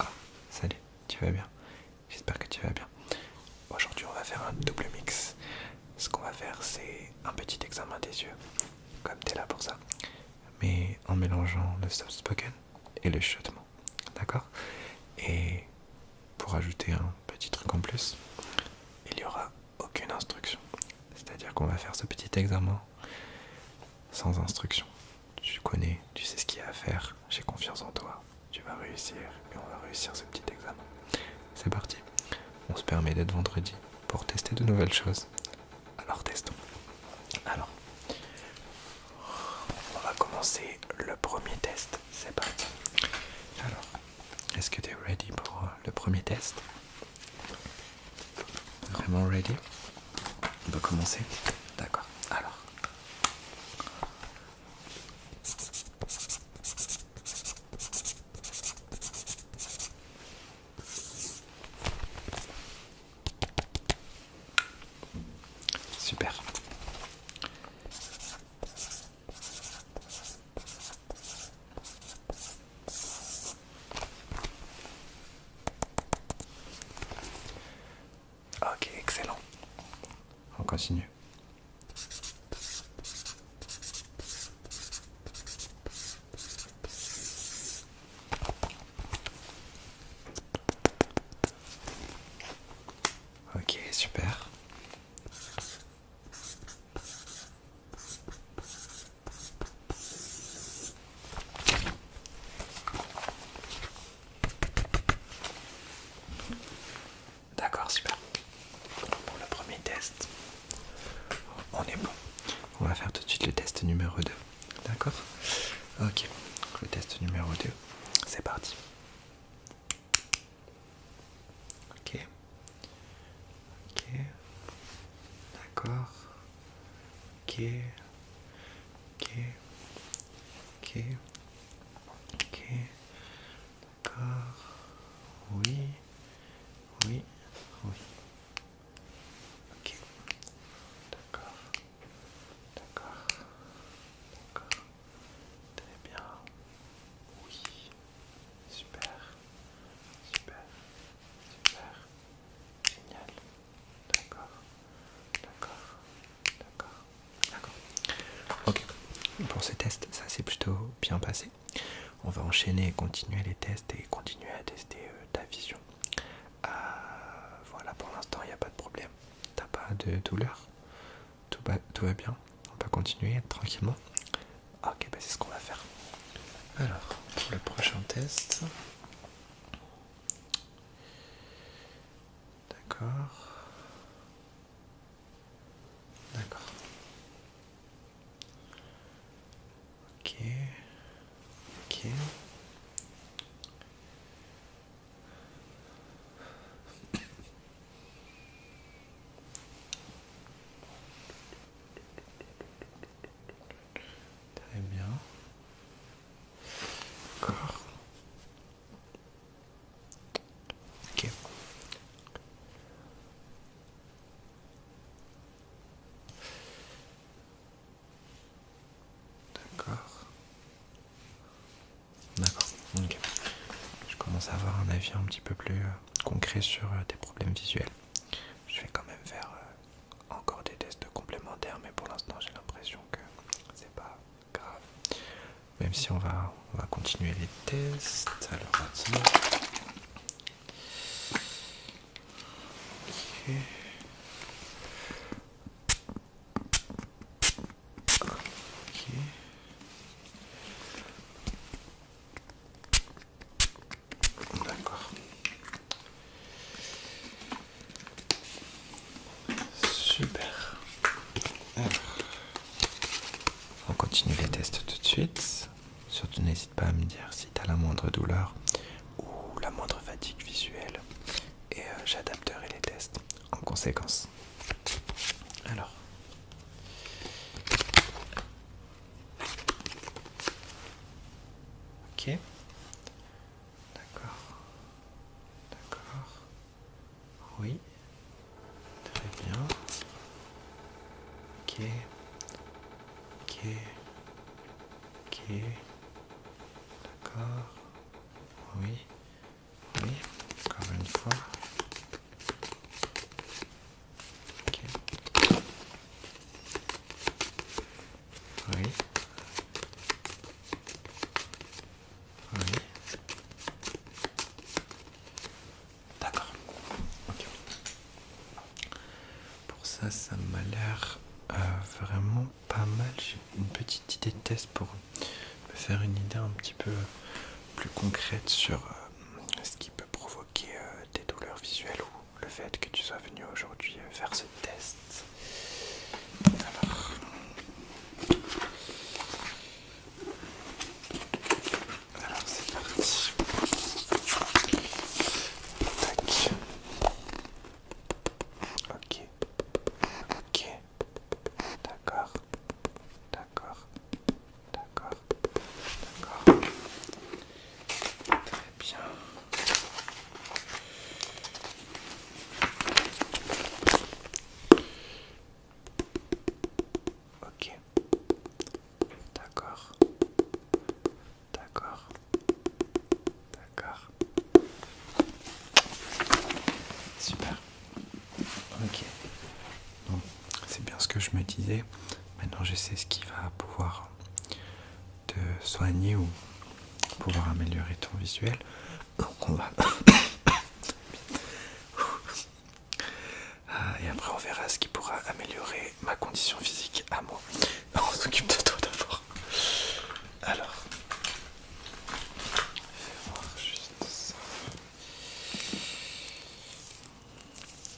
Ah, salut, tu vas bien J'espère que tu vas bien. Aujourd'hui, on va faire un double mix. Ce qu'on va faire, c'est un petit examen des yeux, comme t'es là pour ça, mais en mélangeant le soft spoken et le chuchotement. D'accord Et pour ajouter un petit truc en plus, il n'y aura aucune instruction. C'est-à-dire qu'on va faire ce petit examen sans instruction tu connais, tu sais ce qu'il y a à faire, j'ai confiance en toi, tu vas réussir et on va réussir ce petit examen. C'est parti, on se permet d'être vendredi pour tester de nouvelles choses. Alors testons. Alors, on va commencer le premier test, c'est parti. Alors, est-ce que tu es ready pour le premier test Vraiment ready on peut commencer D'accord. Alors. Super. Ah, ok, excellent. On continue. Ok, super. D'accord, super. Pour le premier test, on est bon. On va faire tout de suite le test numéro 2. D'accord Ok, le test numéro 2, c'est parti. Ok. Ok. D'accord ok, ok, ok, ok, d'accord, oui, oui, oui, ok, d'accord, d'accord, d'accord, très bien, oui, super, super, super, génial. D'accord. D'accord. D'accord. D'accord. Ok. Pour ce test, ça s'est plutôt bien passé. On va enchaîner et continuer les tests et continuer à tester euh, ta vision. Ah, voilà, pour l'instant, il n'y a pas de problème. T'as pas de douleur tout, va, tout va bien On peut continuer tranquillement Ok, bah, c'est ce qu'on va faire. Alors, pour le prochain test, D'accord. D'accord. Ok. Ok. Très bien. D'accord. Ok. D'accord. D'accord. Je commence à avoir un avis un petit peu plus euh, concret sur euh, tes problèmes visuels. Je vais quand même faire encore des tests complémentaires, mais pour l'instant j'ai l'impression que c'est pas grave. Même si on va, on va continuer les tests. D'accord. Super. on continue les tests tout de suite. Surtout n'hésite pas à me dire si tu as la moindre douleur ou la moindre fatigue visuelle. Et euh, j'adapterai les tests en conséquence. Alors, Ok. D'accord. D'accord. Oui. Très bien. Ok. Ok. Ok. D'accord. Oui. Oui. Encore une fois. Oui. D'accord. Pour ça, ça m'a l'air euh, vraiment pas mal. J'ai une petite idée de test pour me faire une idée un petit peu plus concrète sur euh, ce qui peut provoquer euh, des douleurs visuelles ou le fait que tu sois venu aujourd'hui faire ce test. Alors... Alors c'est parti. Ok. Ok. D'accord. D'accord. D'accord. D'accord. Très bien. Ok. D'accord. D'accord. D'accord. Super. Ok. Bon, c'est bien ce que je me disais. Maintenant, je sais ce qui va pouvoir de soigner ou pouvoir améliorer ton visuel. Donc on va... Ah, et après on verra ce qui pourra améliorer ma condition physique à moi. On s'occupe de toi d'abord. Alors... Fais voir juste ça.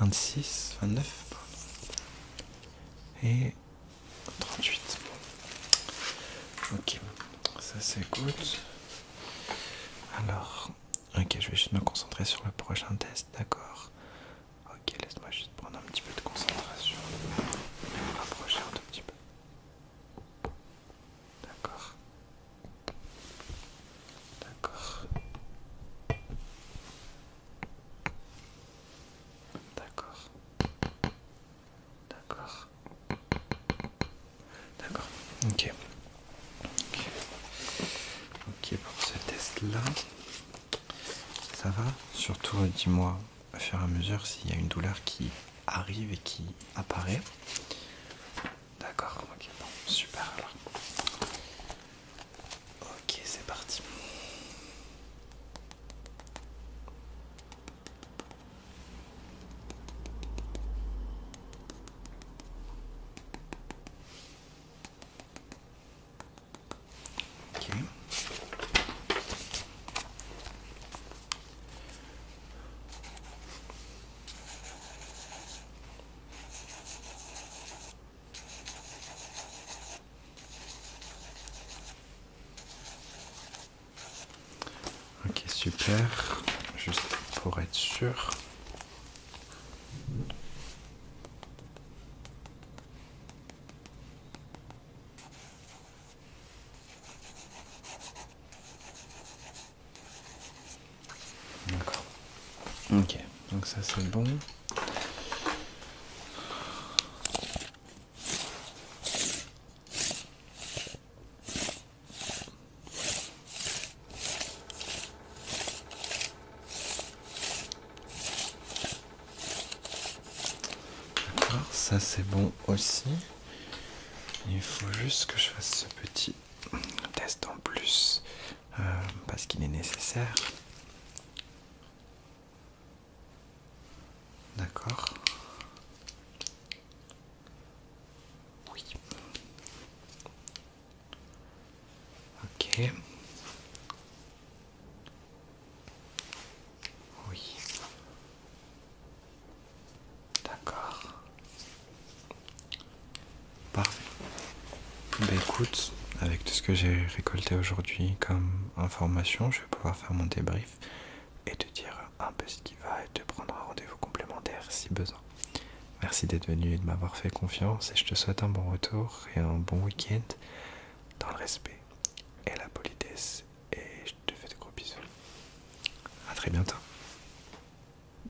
26, 29 et 38. Ok, ça s'écoute. Alors, ok, je vais juste me concentrer sur le prochain test, d'accord Ok, laisse-moi juste prendre un petit peu de concentration rapprocher un tout petit peu. D'accord. D'accord. D'accord. D'accord. D'accord. ok. Ok pour ce test là. Ça va Surtout euh, dis-moi à fur et à mesure s'il y a une douleur qui arrive et qui apparaît. D'accord, ok, super alors. Ok, c'est parti. Ok. Ok, super. Juste pour être sûr. D'accord. Ok, donc ça c'est bon. D'accord, ça c'est bon aussi. Il faut juste que je fasse ce petit test en plus euh, parce qu'il est nécessaire. D'accord. Oui. Ok. Oui. D'accord. Parfait. Bah écoute, avec tout ce que j'ai récolté aujourd'hui comme information, je vais pouvoir faire mon débrief et te dire un peu ce qui va et te prendre un rendez-vous complémentaire si besoin. Merci d'être venu et de m'avoir fait confiance et je te souhaite un bon retour et un bon week-end dans le respect et la politesse et je te fais de gros bisous. A très bientôt.